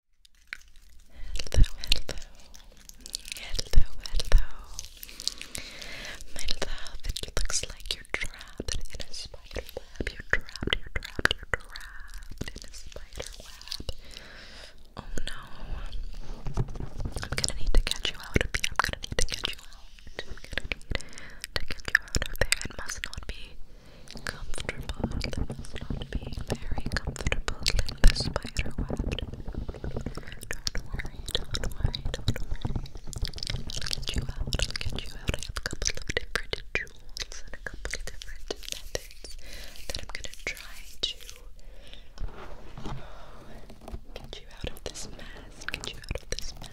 Hello, hello, hello, hello. My love, it looks like you're trapped in a spider web. You're trapped, you're trapped, you're trapped in a spider web. Oh no. I'm gonna need to get you out of here. I'm gonna need to get you out. I'm gonna need to get you out of there. It must not be comfortable. They must not be very comfortable in the spider web. Don't worry, don't worry, don't worry. i get you out, get you out. I have a couple of different jewels and a couple of different methods that I'm gonna try to get you out of this mess, get you out of this mess.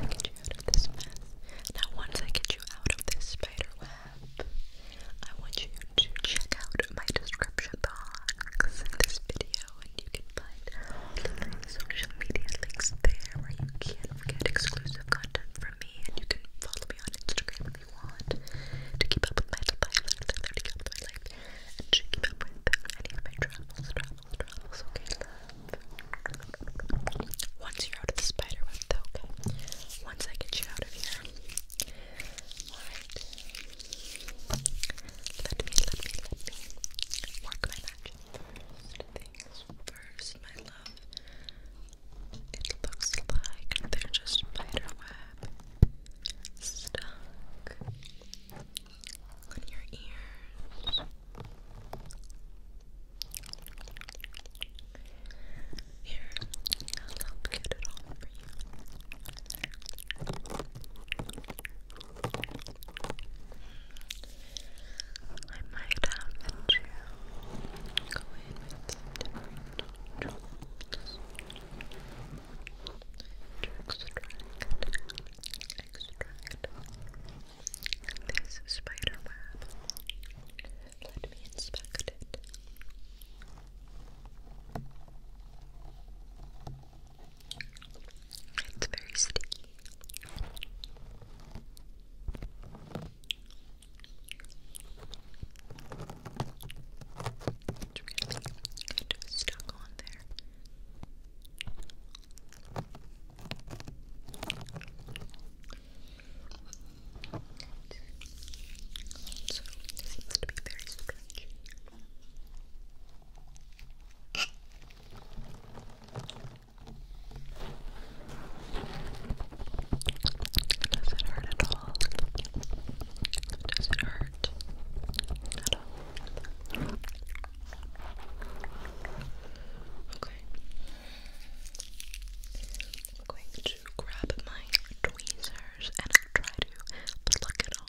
Get you out of this mess. Now, once I get you out of this spider web, I want you to check out my description box in this video, and you can find all social media links there where you can get exclusive content from me, and you can follow me on Instagram if you want to keep up with my life, to keep life, and to keep up with my travels, travels, travels, okay, love? Once you're out of the spider web, okay? once I get you out of here. Alright. Let me, let me, let me work my magic first. Things first, my love. It looks like they're just spider stuck on your ears. Here, I'll get it all for you. I might have to go in with extract, extract this spider web. Let me inspect it. It's very sticky. It's really stuck on there. Also, it seems to be very stretchy. Does it hurt at all? Does it hurt at all? Okay. I'm going to grab my tweezers and try to pluck it off.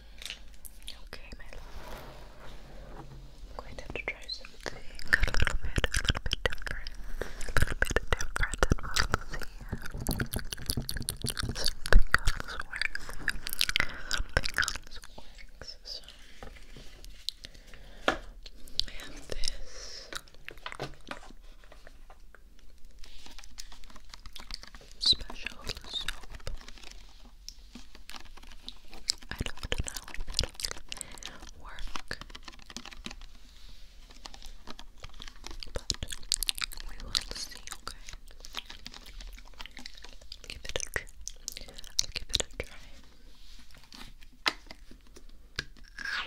Okay, my love. I'm going to try something a little bit, a little bit different. A little bit different than most of Something else works. Something else works. So, this. Special soap. I don't know if it'll work, but we will see, okay? give it a give it a try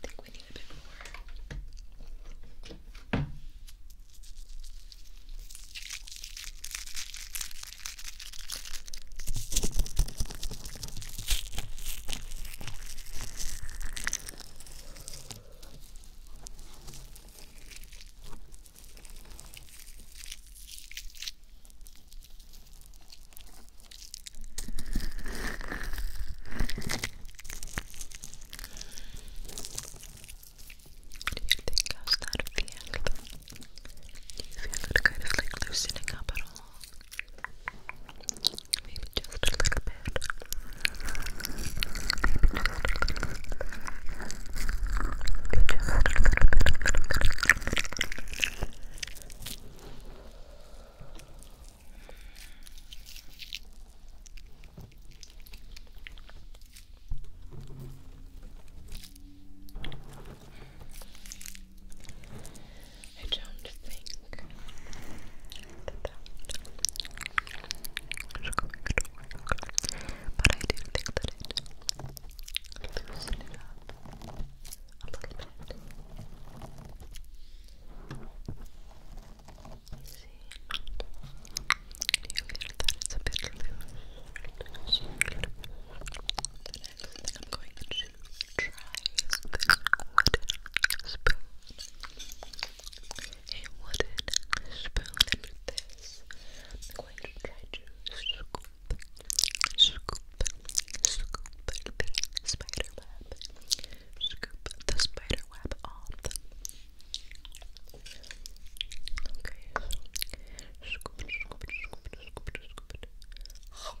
think we need a bit more. Okay think how's that feel? Do you feel kind of like loosening up at all? Maybe just a little bit. Maybe I don't think that that it's but I do think that it loosened it up a little bit. You see, do you feel that it's a bit loose? The next thing I'm going to try is this a spoon, this, I'm going to try to scoop, scoop, scoop the spider web, scoop the spider web off. Okay, so scoop scoop scoop scoop scoop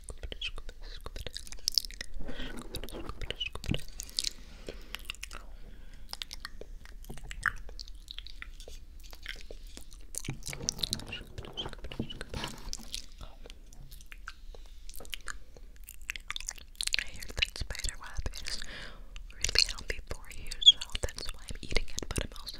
I hear that spider web is really healthy for you, so that's why I'm eating it, but I'm also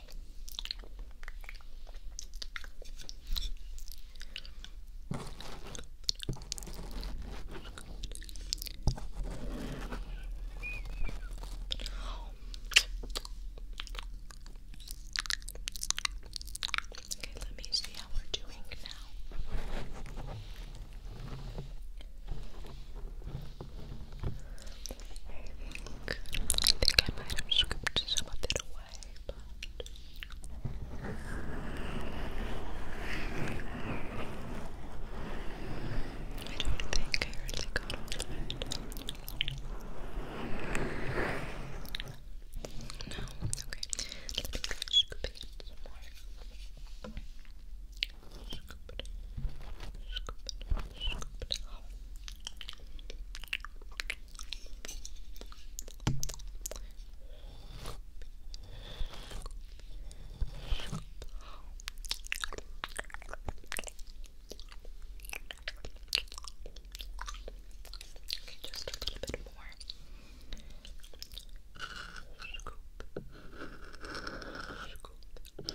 Okay, let me see how we're doing now think, I think I might have scooped some of it away, but I don't think I really got it. No, okay. Let me try scooping it some more scoop it, scoop it, scoop it out. Okay, just a little bit more. Scoop. Scoop. Okay.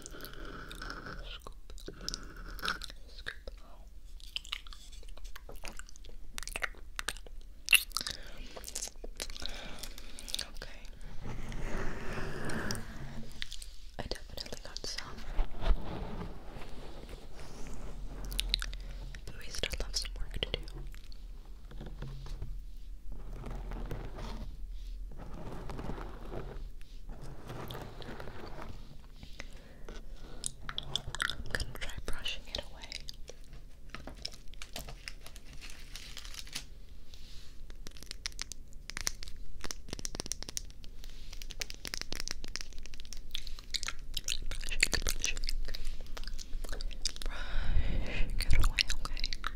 I definitely got some. But we still have some work to do. I'm gonna try brushing it away. Brush, get away, okay.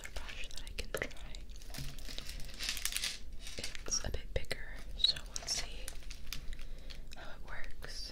another brush that I can try. It's a bit bigger, so we'll see how it works.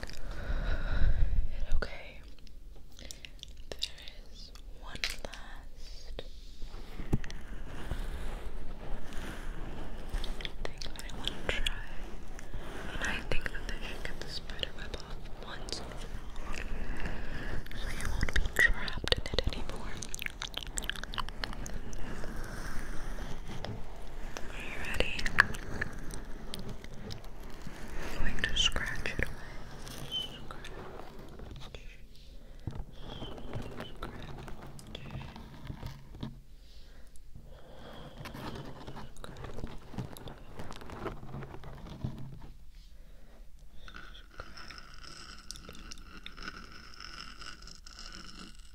And okay, there is one last thing I want to try. And I think that they should get the spider web off once so you won't be trapped in it anymore. Are you ready? I'm going to scratch it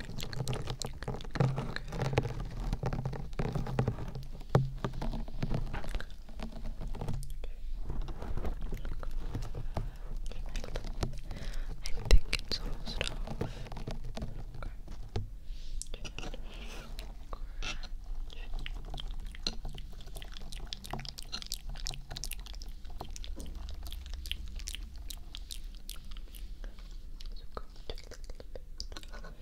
I think it's almost off. We're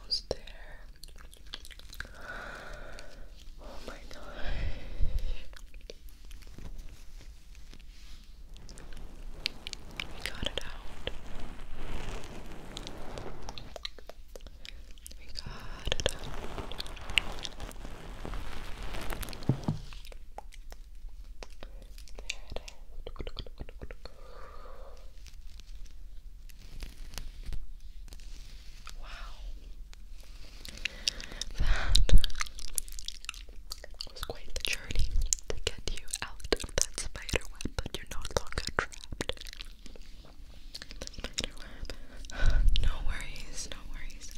almost there. Oh my god! We got it out. We got it Wow. That was quite the journey to get you out of that spider web, but you're no longer trapped. No worries, no worries.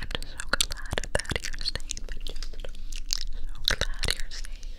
I'm just so glad that you're safe. just so glad you're safe.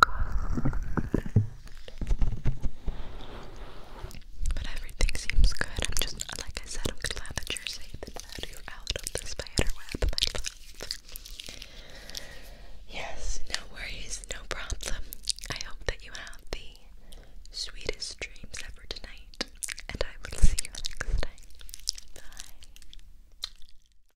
But everything seems good. I'm just, like I said, I'm glad that you're safe that you're out of the spider Yes, no worries, no problem. I hope that you have the sweetest dreams ever tonight, and I will see you next time. Bye.